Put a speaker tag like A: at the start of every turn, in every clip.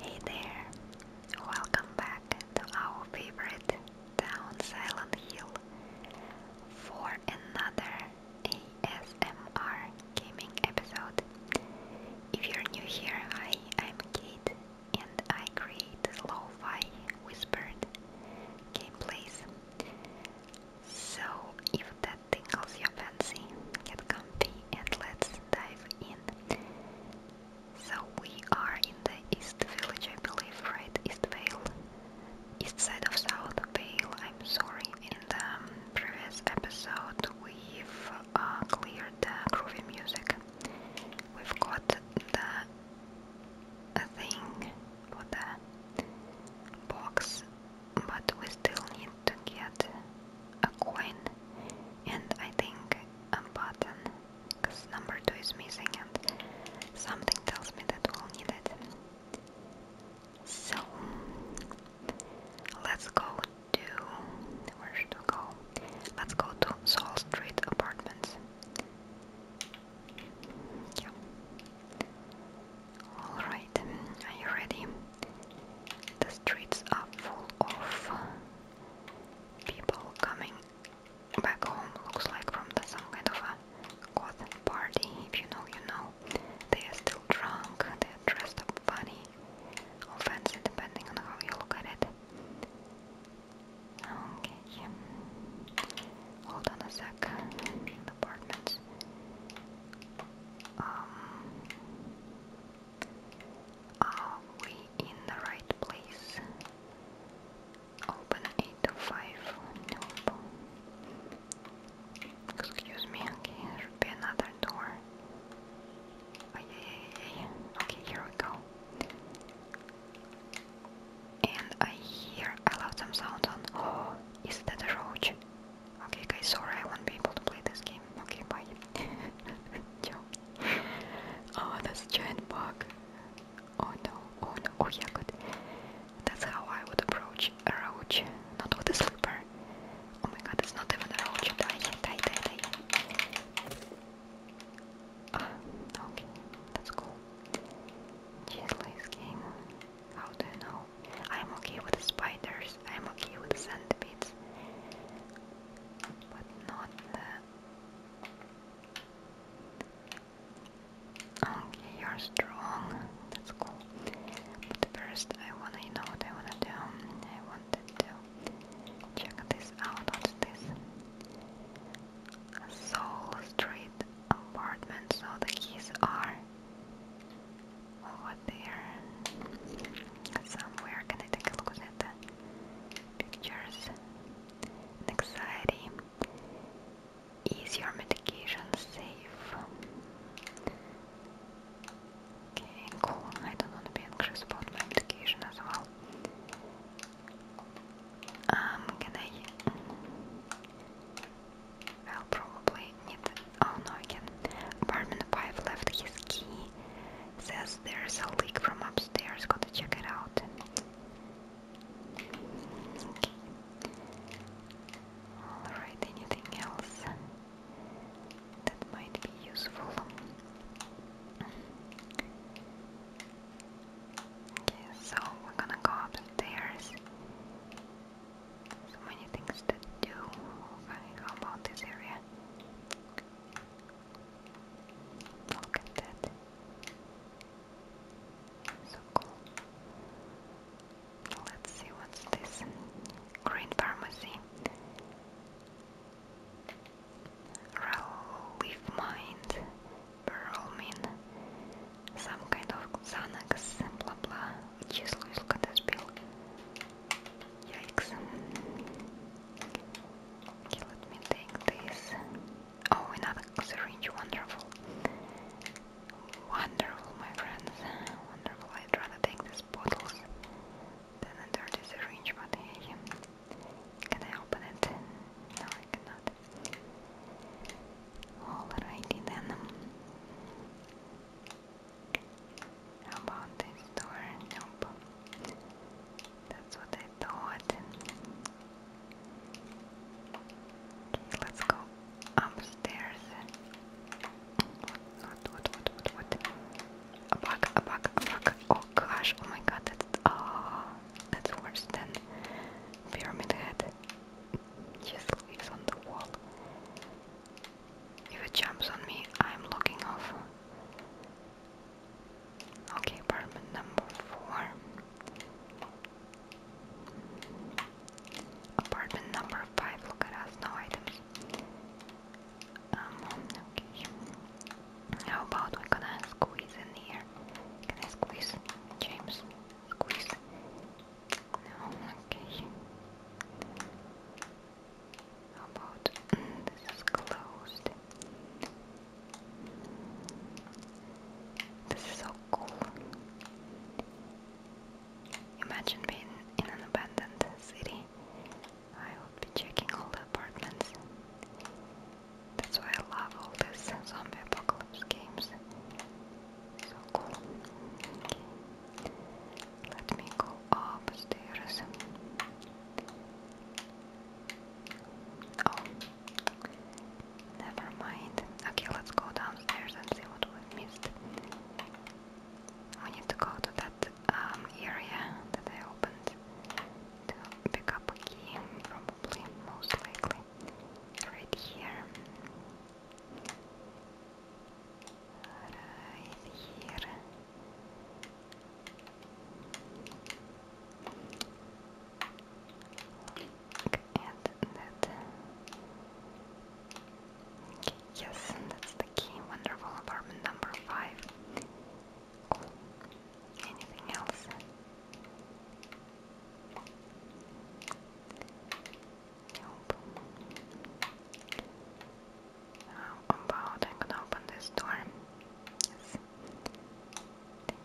A: Hey there! Welcome back to our favorite down Silent Hill for another ASMR gaming episode. If you're new here, hi, I'm Kate and I create lo-fi whispered gameplays. So if that tingles your fancy, get comfy and let's dive in. So we are in the East Village, I believe, right? East Vale. East side of South Vale, I'm sorry. In the um, previous episode we've uh, cleared the groovy music. We've got the thing for the box, but we still need to get a coin and I think a button because number two is missing and something tells me that we'll need it. So let's go to where should we go? Let's go to Soul Street Apartments. Yeah. Alright, are you ready? The streets are full of people coming back home, looks like from the, some kind of a goth party, if you know, you know. They are still drunk, they are dressed up funny, or fancy, depending on how you look at it. Okay, hold on a sec, apartments. Um, are we in the right place? Open 805. Nope. Excuse me, okay, should be another door. Oh, yeah, yeah, yeah, Okay, here we go. And I hear I love some sound on. Oh, is that a roach? Okay, guys, sorry, I won't be able to play this game. Okay, bye. Oh, that's giant bug. Oh no, oh no, oh yeah, good. That's how I would approach a roach, not with a slipper. Oh my god, it's not even a roach. Die, die, die, die. Ah, okay, that's cool. Cheese game. How do you know? I'm okay with spiders, I'm okay with centipedes but not the... Okay, you're strong, that's cool. But first I wanna, you know what I wanna do? I wanted to check this out, what's this? Soul Street apartment, so the keys are over there somewhere. Can I take a look at that? pictures anxiety. Is your medication safe? Okay, cool. I don't want to be anxious about my medication as well. Um, can I? I'll probably need. Oh no, I can. Apartment 5 left his key Says there's a leak from upstairs, gotta check it out. Alright, anything else that might be useful? Okay, so we're gonna go upstairs. So many things to do. Okay, how about this area? Look at that. So cool. Let's see what's this. Green pharmacy. Relief mind. Perlmin. Some kind of Xanax. Blah blah. Число из Yikes. Okay, let me take this. Oh, another syringe, wonderful. Wonderful, my friends. Wonderful. I'd rather take these bottles than a dirty syringe, but hey, can I open it? No, I cannot. Alrighty then. How about this door? Nope. That's what I thought. Okay, let's go upstairs. What, what, what, what, what? A bug, a bug, a bug. Oh gosh, oh my god, that's, oh, that's worse than Pyramid Head. Just lives on the wall. If it jumps on me, I'm locking off. Okay, apartment number four. Apartment number five. Look at us, no items. Um, okay. How about we gonna squeeze in here? Can I squeeze, James? Squeeze. No, okay. How about mm, this is closed? This is so cool. Imagine being in an abandoned city. I would be checking all the apartments. That's why I love all these zombie apocalypse games. So cool. Okay. Let me go upstairs. Oh, never mind. Okay, let's go downstairs and see what we missed. We need to go to that um, area that I opened to pick up a key, probably, most likely. Right here. Right here. And that. Okay, yes, that's the key. Wonderful apartment number five. Cool. Anything else? Nope. How um, about I'm gonna open this door? Yes.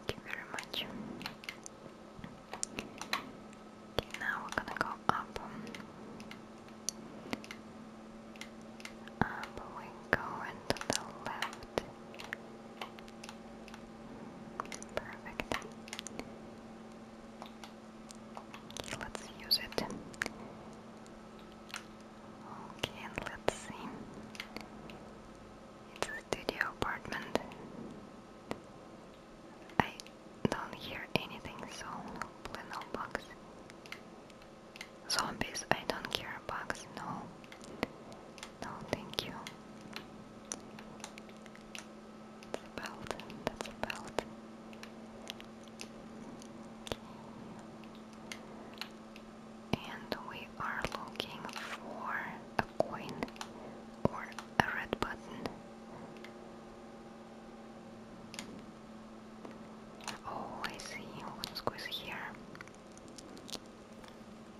A: Thank you very much. Okay, now we're gonna go up. Up we go and the left. Perfect. Okay, let's use it. Okay, let's see. It's a studio apartment. I don't hear anything, so no bugs. Zombies, I don't hear bugs, no. No, thank you. That's a that's a and we are looking for a coin or a red button. Oh, I see. What's going here?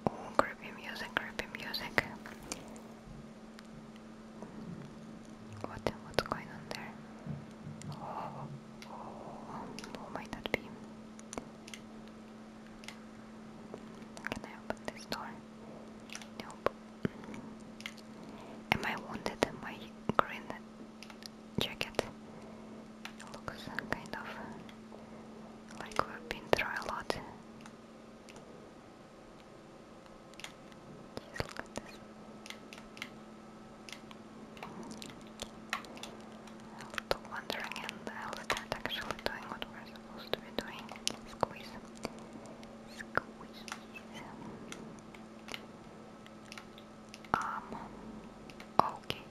A: Oh, creepy music, creepy music. What? What's going on there? Oh, oh, oh, oh might that be? Can I open this door? Nope. Am I wounded in my green jacket? Looks kind of like we've been through a lot. Jeez, look at this. I'll stop wandering and I'll start actually doing what we're supposed to be doing. Squeeze. Squeeze. Um, okay.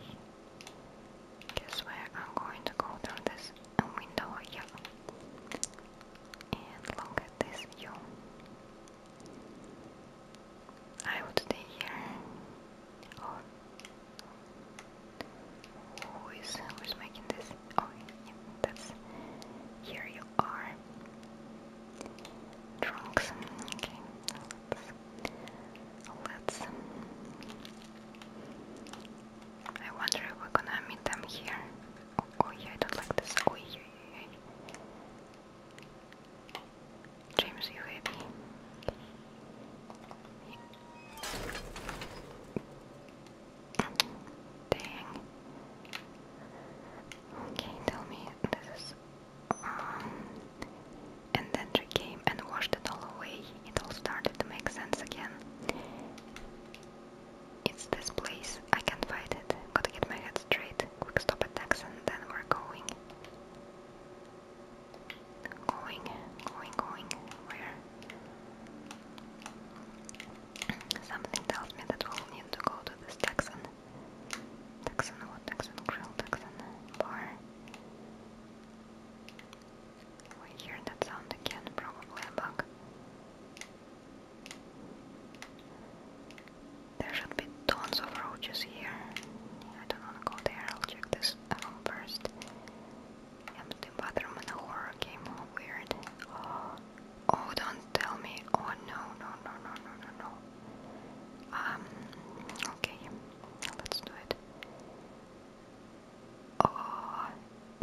A: Guess where I'm going to go through this window here. And look at this view. I would stay here who is who's making this? Oh, yeah, that's here you are. Trunks. Okay, let's. let's I wonder if we're gonna meet them here. Oh, oh yeah, I don't like this. Oh yeah, yeah, yeah. James UAB. Dang. Okay, tell me this um, and then she came and washed it all away. It all started to make sense again. It's this place. I can't fight it. Gotta get my head straight. Quick stop attacks and then we're going. Going, going, going. Where? Something tells me that we'll need to go to this Texan. Texan what? Texan grill, Texan bar. We hear that sound again, probably a bug. There should be tons of roaches here. I don't wanna go there, I'll check this room first. Empty bathroom in a horror game, all weird. Oh, oh, don't tell me. Oh, no, no, no, no, no, no, no. Um, okay, let's do it. Oh,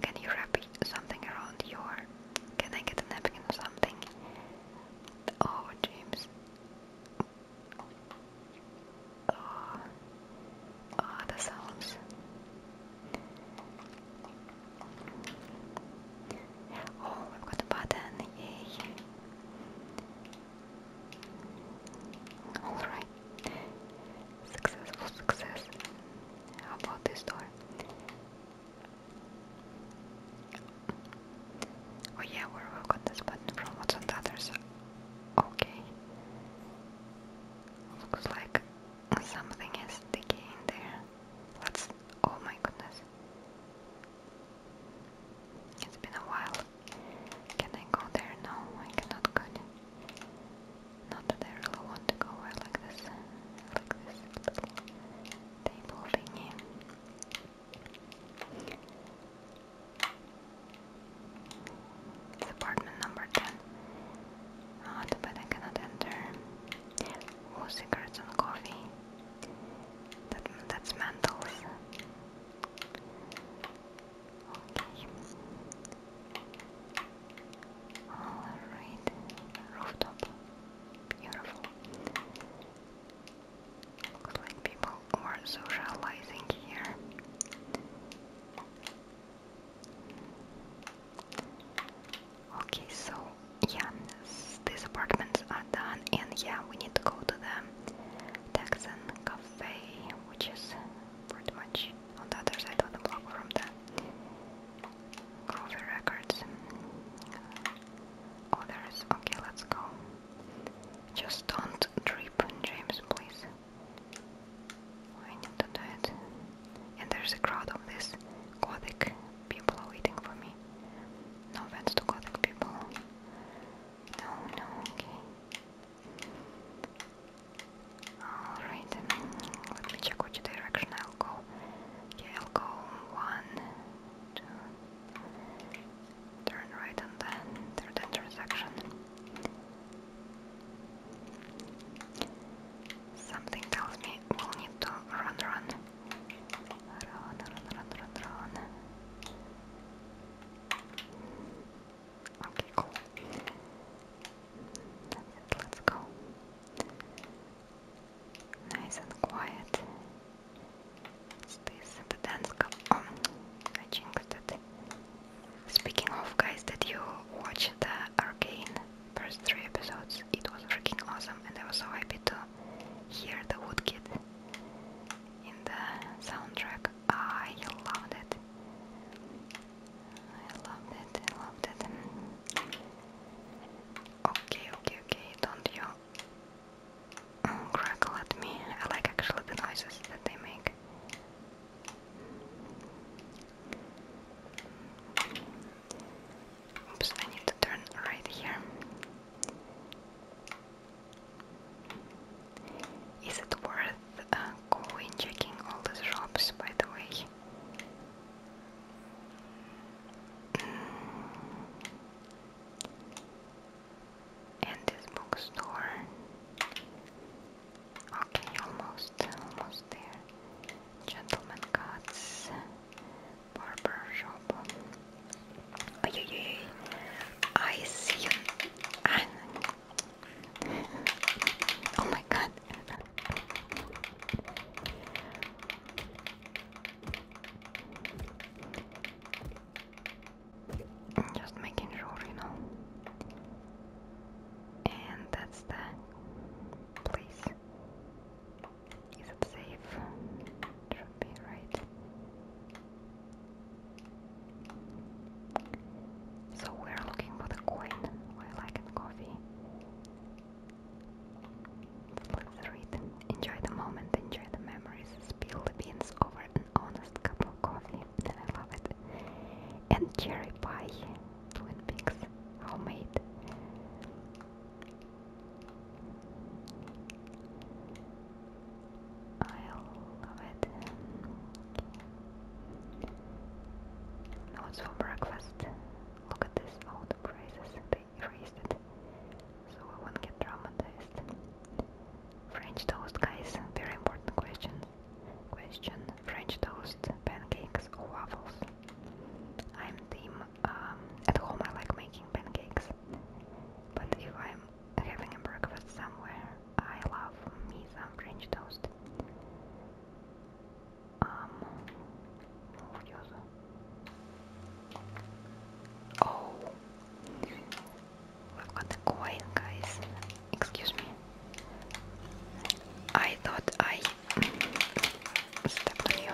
A: can you wrap something around your... Can I get a napkin or something? Oh, James. Oh, oh the sounds. Oh, we've got a button, yay. Alright. Successful success. about this door? Oh yeah, we've got this button from what's on the other side Okay. Looks like something is sticky there. Let's. Oh my goodness. It's been a while. Can I go there? No, I cannot go Not that I really want to go. I like this. like this little table thingy. It's apartment number 10. Not, oh, but I cannot enter. Oh, cigarettes and coffee. That, that's Mantles. Okay. Alright. Rooftop. Beautiful. Looks like people or socializing here. Okay, so yeah, these apartments are done, and yeah, we need to go to the Texan Cafe, which is pretty much on the other side of the block from the Groovy Records. Oh, Okay, let's go. Just don't drip, James, please. I need to And there's a crowd of these Gothic people waiting for me. No offense to Gothic people. No, no, okay. Alright, let me check which direction I'll go. Okay, I'll go one, two, turn right and then third intersection. Something tells me we'll need to run, run, run, run, run, run, run. Okay, cool. That's it. Let's go. Nice and quiet. What's this? The dance cup. Oh, I jinxed it. Speaking of guys, did you watch the Arcane first three episodes? It was freaking awesome, and I was so happy to hear the woodkit in the soundtrack. I loved it. I loved it. I loved it. Okay, okay, okay. Don't you crackle at me? I like actually the noises that they make. Oops, I need to turn right here. Is it worth uh, going checking all the shops, by the way? Mm. And this bookstore. Okay, almost, almost there. Gentlemen, Cuts, Barber Shop. Oh, yeah, yeah, yeah. I see you. oh my god. Just making sure, you know. And that's the place. Is safe? should be right. So we're looking for the coin while I can coffee. Let's read. Enjoy the moment, enjoy the memories. Spill the beans over an honest cup of coffee. I love it and cherry pie. Twin Peaks, homemade. I love it. Notes for breakfast. Look at this, all the prices, they erased it. So I won't get traumatized. French toast, guys, very important question. Question: French toast, pancakes, or waffles? I'm team. Um, at home, I like making pancakes, but if I'm having a breakfast somewhere, I love me some French toast. Um, oh, we've got a guys. Excuse me. I thought I stepped you.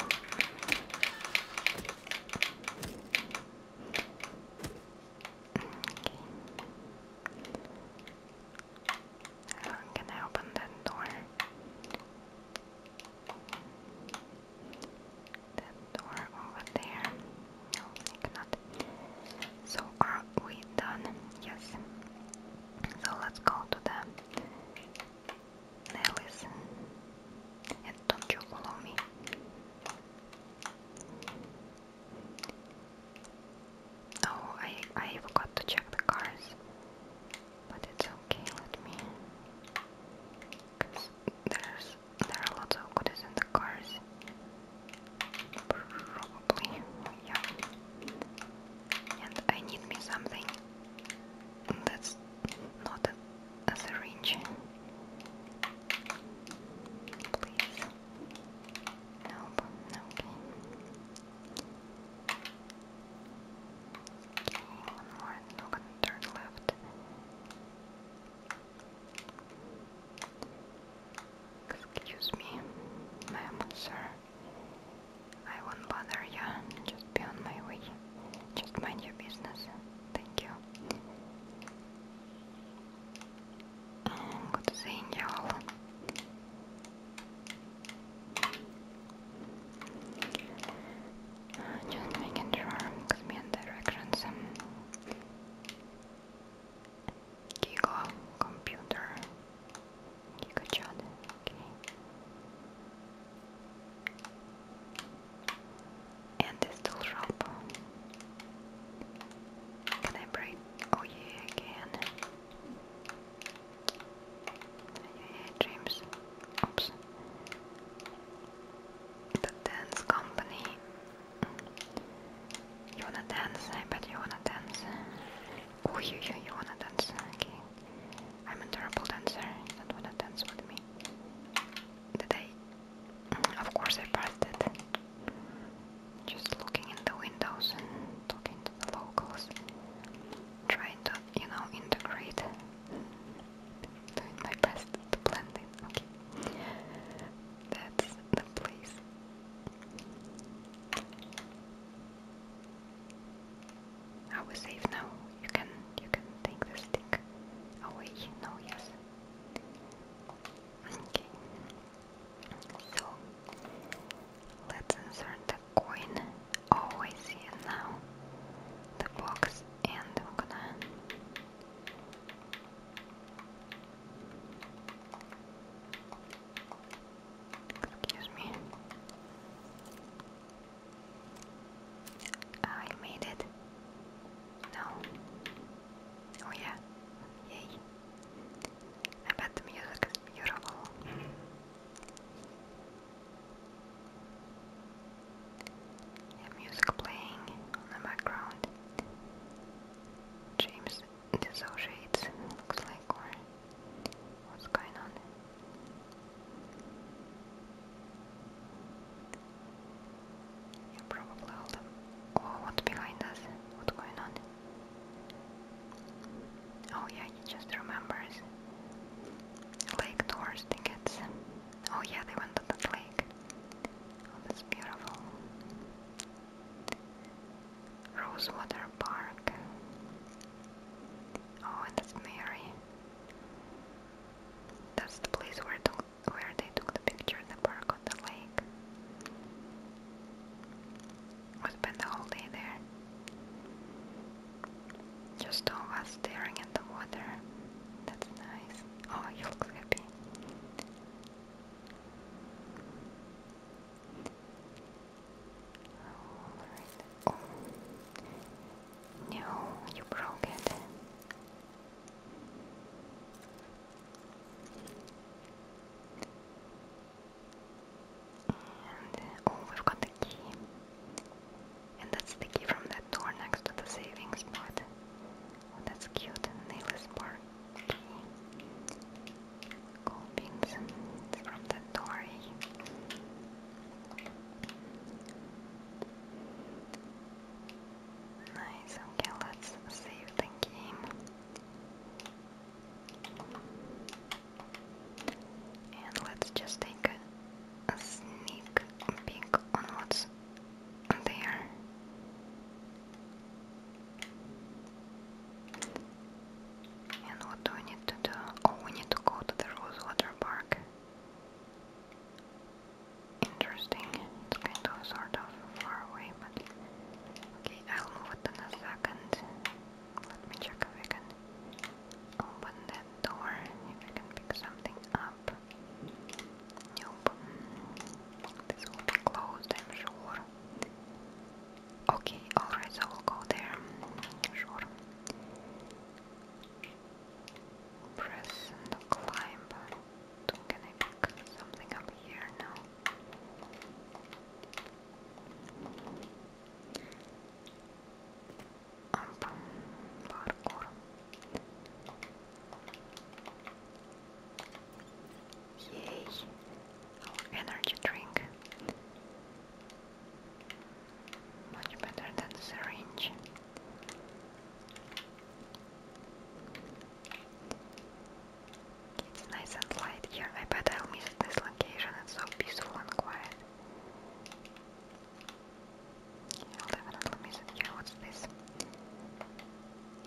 A: can I open that door? That door over there. No, I cannot. So are we done? Yes. So let's go to the Nellis. And don't you follow me? Oh, I I forgot to check the cars, but it's okay. Let me. Cause there's there are lots of goodies in the cars. Probably, yeah. And I need me something that's not a, syringe. Please. Nope, okay. one more, and turn left. Excuse me, ma'am, sir. I won't bother you. Just be on my way. Just mind your business. Thank you. Mm, good seeing y'all. Uh, just making sure, because me and directions. Giga computer. Giga chat. Okay. And this tool shop. Can I break? Oh yeah, I can. Yeah, Oops. The dance company. You wanna dance? I bet you wanna dance. Oh, you, you, you wanna dance? Okay. I'm a terrible dancer. You Don't wanna dance with me. Did I? Mm, of course I passed it. Just looking in the windows talking to the locals. Trying to, you know, integrate. Doing my best to blend in. Okay. That's the place. I was safe now? You can you can take the stick away. No, yes. Okay. So let's insert the coin. Oh, I now. The box, and i Excuse me. Ah, I made it. No. Oh yeah. Yay. I bet the music is beautiful. Yeah, music playing on the background. James disassociates, looks like, or what's going on. Yeah, probably all Oh, what's behind us? What's going on? Oh yeah, he just remembers. Lake tours tickets. Oh yeah, they went to that lake. Oh, that's beautiful. Rosewater Park. Oh, and that's Mary. That's the place where took, where they took the picture in the park on the lake. We spent the whole day there. Just all of us staring at the water. That's nice. Oh, he looks happy. Oh. No, you broke it. oh, we've got the key. And that's the key from that door next to the savings spot. Oh, that's cute. Nail is bar Colpings from the Tory. Nice, okay, let's save the game. And let's just take a sneak peek on what's there. And what do we need to do? Oh, we need to go to the Rosewater Park. Interesting. It's kind of sort of far away, but okay, I'll move it in a second. Let me check if open that door. If I can pick something up. Nope. This will be closed, I'm sure. Okay, alright, so we'll go there. Sure. Press the climb. Can I pick something up here now? Up, parkour. Yay! Oh, energy drink. Much better than syringe. It's nice and light here. I bet I'll miss this location. It's so peaceful and quiet. I'll definitely miss it What's this?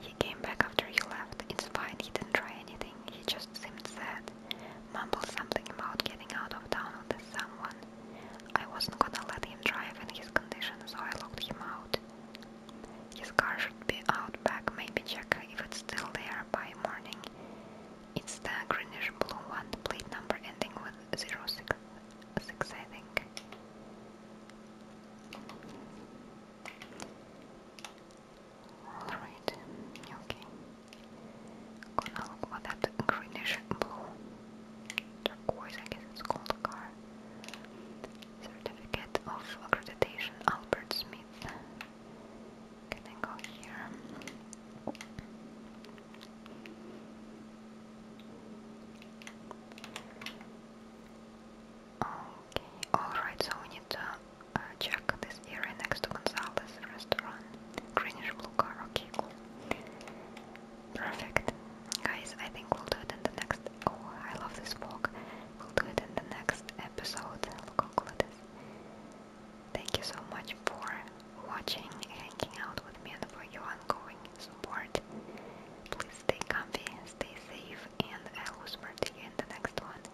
A: He came back after you left. It's fine. He didn't try anything. He just seemed sad mumbled something about getting out of town with someone. I wasn't gonna let him drive in his condition, so I locked him out. His car should be out back, maybe check if it's still there by morning. It's the greenish blue one, plate number ending with 06, I think. Alright, okay. Gonna look for that greenish blue. Turquoise, I guess it's called car. Certificate of accreditation, Albert Smith. Can I go here? Okay, alright, so we need to uh, check this area next to Gonzalez restaurant. Greenish blue car, okay, cool. Perfect. Guys, I think we'll do it in the next... Oh, I love this walk. We'll do it in the next episode. We'll conclude this. Thank you so much for watching, hanging out with me, and for your ongoing support. Please stay comfy, stay safe, and I'll whisper to you in the next one.